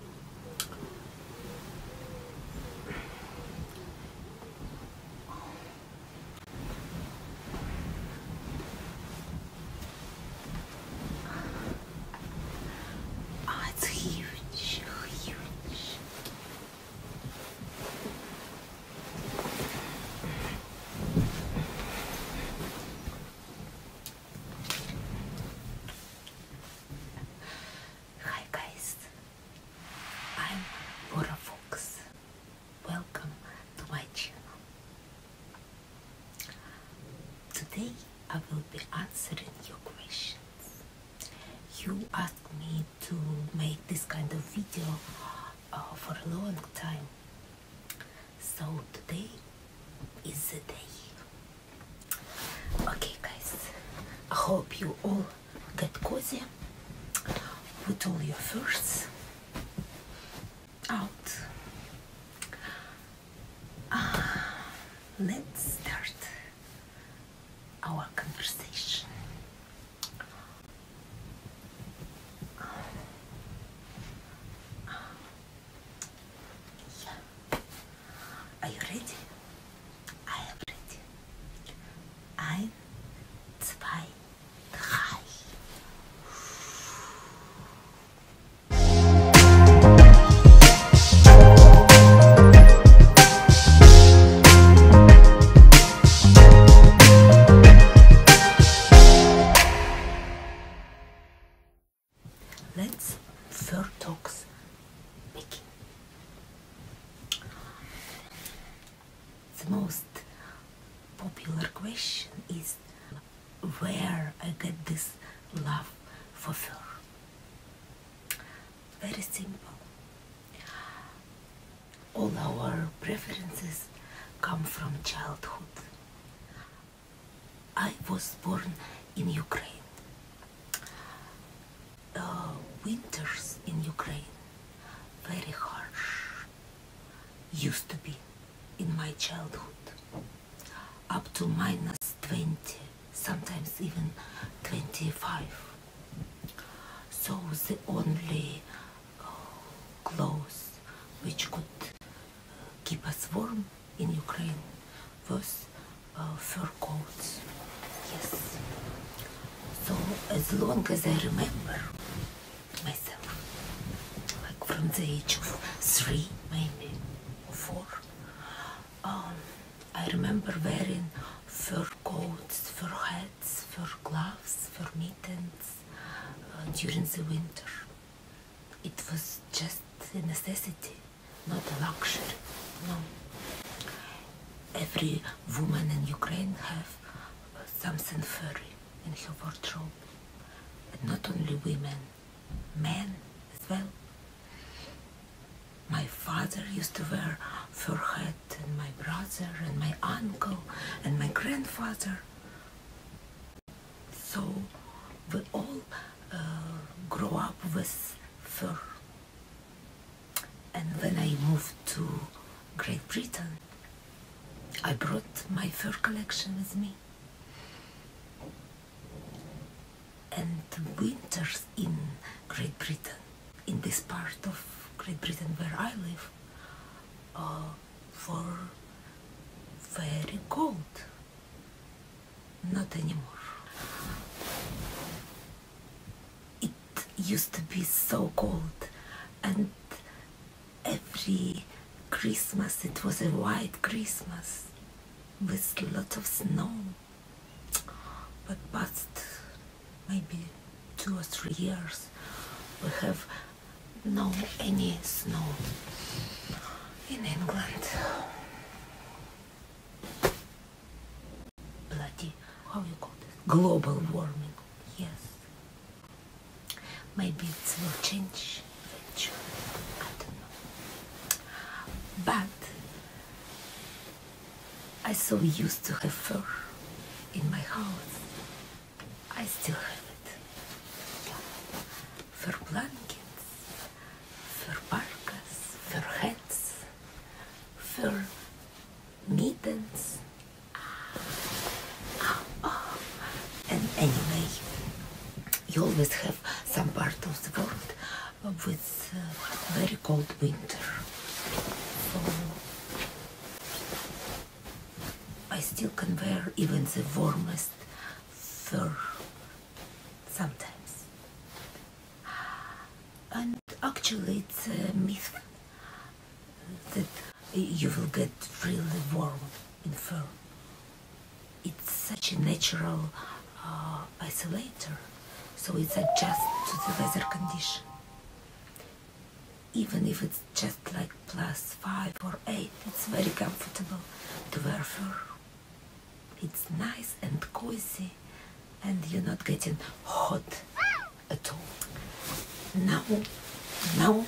Oh, it's huge, huge. Hi guys, I'm Bora Fox. Welcome to my channel. Today I will be answering your questions. You asked me to make this kind of video uh, for a long time. So today is the day. Okay, guys, I hope you all get cozy Put all your furs out. Ah, let's start our conversation. Are you ready? I am ready. Ein, zwei, drei. Let's Vertox making. The most popular question is where I get this love for fur. Very simple. All our preferences come from childhood. I was born in Ukraine. Uh, winters in Ukraine very harsh used to be in my childhood up to minus 20 sometimes even 25 so the only uh, clothes which could uh, keep us warm in Ukraine was uh, fur coats. Yes. So as long as I remember myself, like from the age of three, maybe four, um, I remember wearing fur coats, fur hats, fur gloves, fur mittens uh, during the winter. It was just a necessity not a luxury. No. Every woman in Ukraine have something furry in her wardrobe, and not only women, men as well. My father used to wear fur hat, and my brother, and my uncle, and my grandfather. So we all uh, grow up with fur. And when I moved to Great Britain, I brought my fur collection with me. And winters in Great Britain, in this part of Great Britain where I live, are were very cold. Not anymore. It used to be so cold and every Christmas it was a white Christmas with a lot of snow. But past maybe two or three years we have no any snow in England bloody, how you call this? Global warming. Yes. Maybe it will change eventually. I don't know. But I so used to have fur in my house. I still have it. Fur blankets. For Parkas, for Hats, for mittens. Ah, ah. And anyway, you always have some part of the world with uh, very cold winter. I still can wear even the warmest fur sometimes. And actually, it's a myth that you will get really warm in fur. It's such a natural uh, isolator, so it's adjusted to the weather condition. Even if it's just like plus 5 or 8, it's very comfortable to wear fur. It's nice and cozy and you're not getting hot at all. Now, now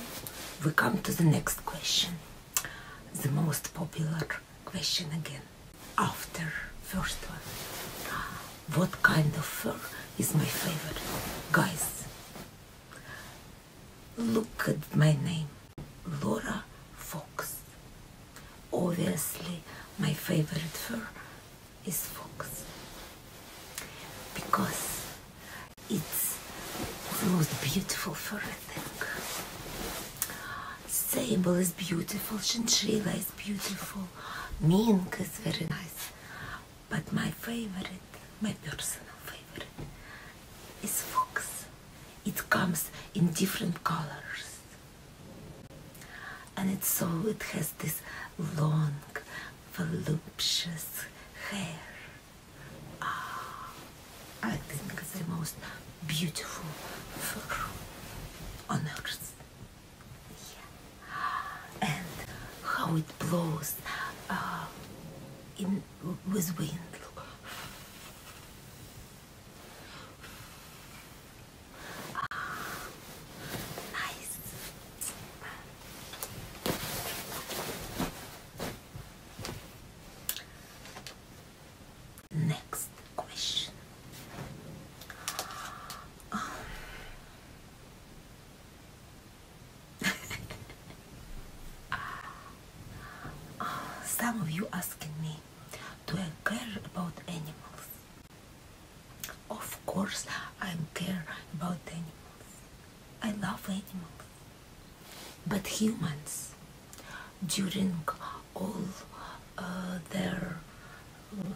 we come to the next question. The most popular question again. After first one. What kind of fur is my favorite? Guys, look at my name. Laura Fox obviously my favorite fur is fox because it's the most beautiful fur I think. Sable is beautiful, chinchilla is beautiful, mink is very nice, but my favorite, my personal favorite, is fox. It comes in different colors and it's so it has this long voluptuous hair ah, I think it's the most beautiful on earth yeah. and how it blows uh, in with wind Ah, nice. Next question. Oh. oh, some of you asking me do I care about animals? Of course I care about animals. I love animals. But humans, during all uh, their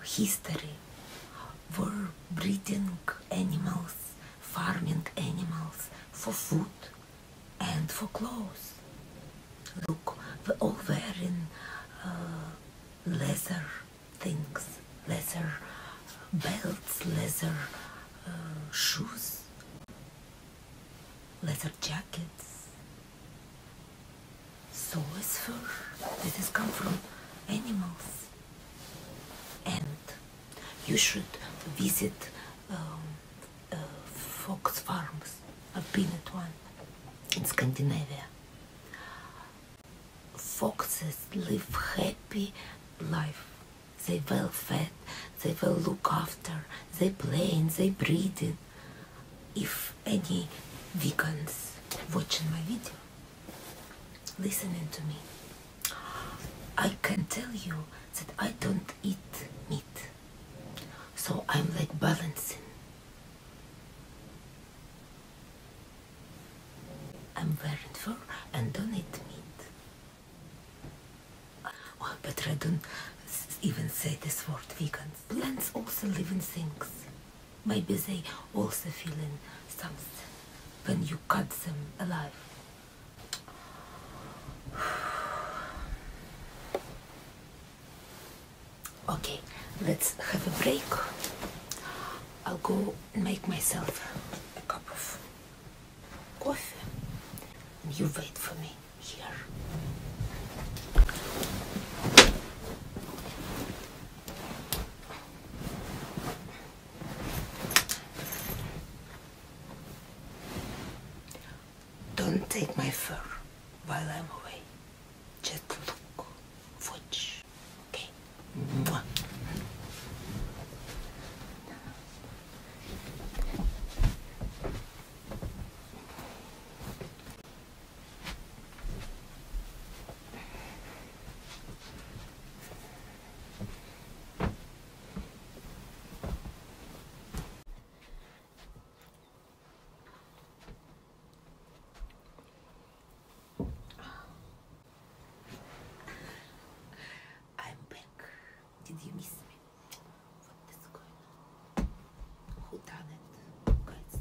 history, were breeding animals, farming animals for food and for clothes look all wearing uh, leather things, leather uh, belts, leather uh, shoes, leather jackets. So it's fur. This has come from animals. And you should visit um, fox farms. I've been at one in Scandinavia. Foxes live happy life. They well fed, they well look after, they play and they breeding. If any vegans watching my video, listening to me, I can tell you that I don't eat meat. So I'm like balancing I'm wearing fur and don't eat meat. Well, oh, but I don't even say this word vegans. Plants also live in things. Maybe they also feel in something when you cut them alive. Okay, let's have a break. I'll go make myself a cup of coffee. And you wait for me here. Don't take my fur while I'm away. Just look, watch, okay? Mwah. I'm back. Did you miss me? What is going on? Who done it? Guys,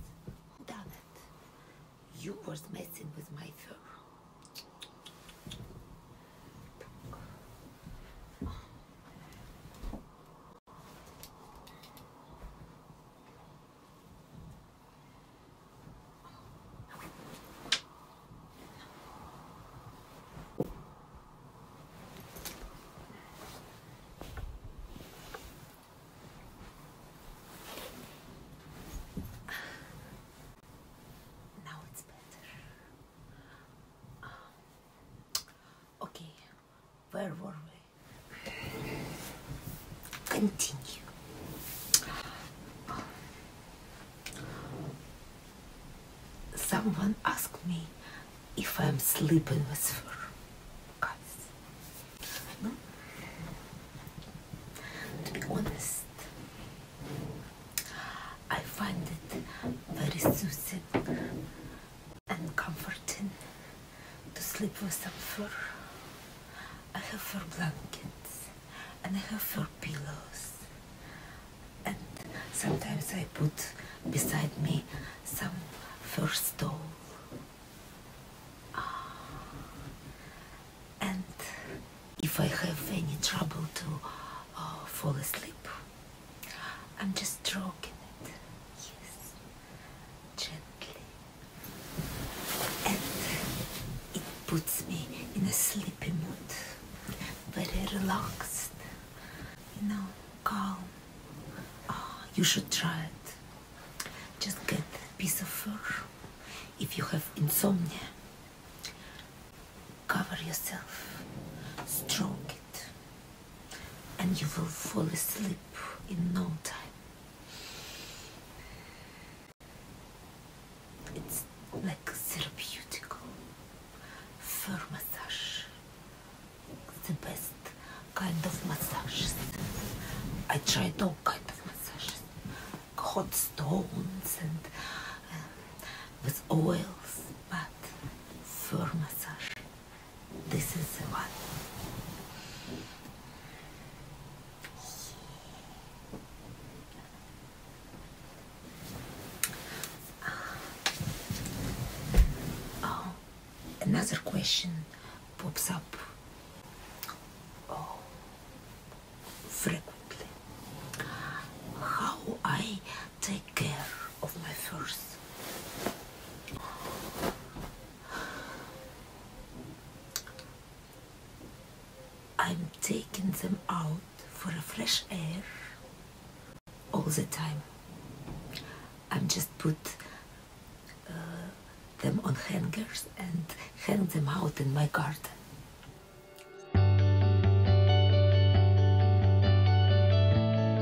who done it? You was messing with my fur. Now it's better. Um, okay, where were we? Continue. Someone asked me if I'm sleeping with her. Guys. To be honest, I find it very suspicious and comforting to sleep with some fur. I have fur blankets and I have fur pillows. And sometimes I put beside me some fur stole. Ah. And if I have any trouble to uh, fall asleep, I'm just stroking it. Yes gently. And it puts me in a sleepy mood, very relaxed, you know, calm. Ah, you should try it. Just get a piece of fur. If you have insomnia, cover yourself, stroke it and you will fall asleep in no time. It's like therapeutic fur massage, the best kind of massages. I tried all kind of massages, hot stones and uh, with oils, but fur massage this is the one. Ah. oh, another question pops up. Oh, frequently. How I take care of my first. I'm taking them out for a fresh air all the time. I'm just put uh, them on hangers and hang them out in my garden.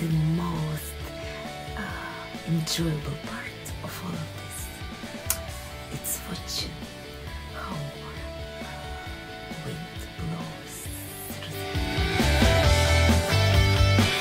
the most uh, enjoyable part of all of this. It's watching how uh, wind blows through.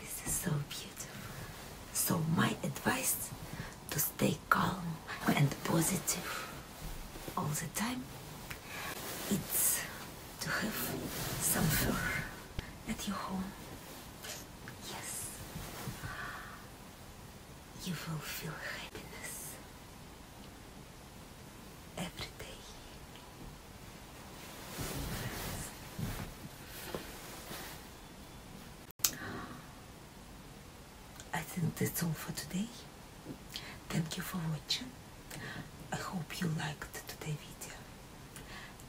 This is so beautiful. So my advice to stay calm and positive all the time it's to have some fur at your home. Yes. You will feel happiness every day. I think that's all for today. Thank you for watching. I hope you liked today's video.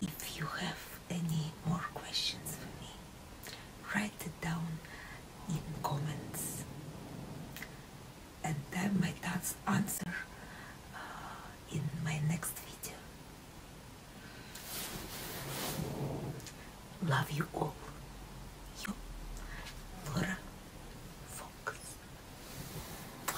If you have any more questions for me, write it down in comments and my might answer uh, in my next video. Love you all. You, Flora, Fox. Oi.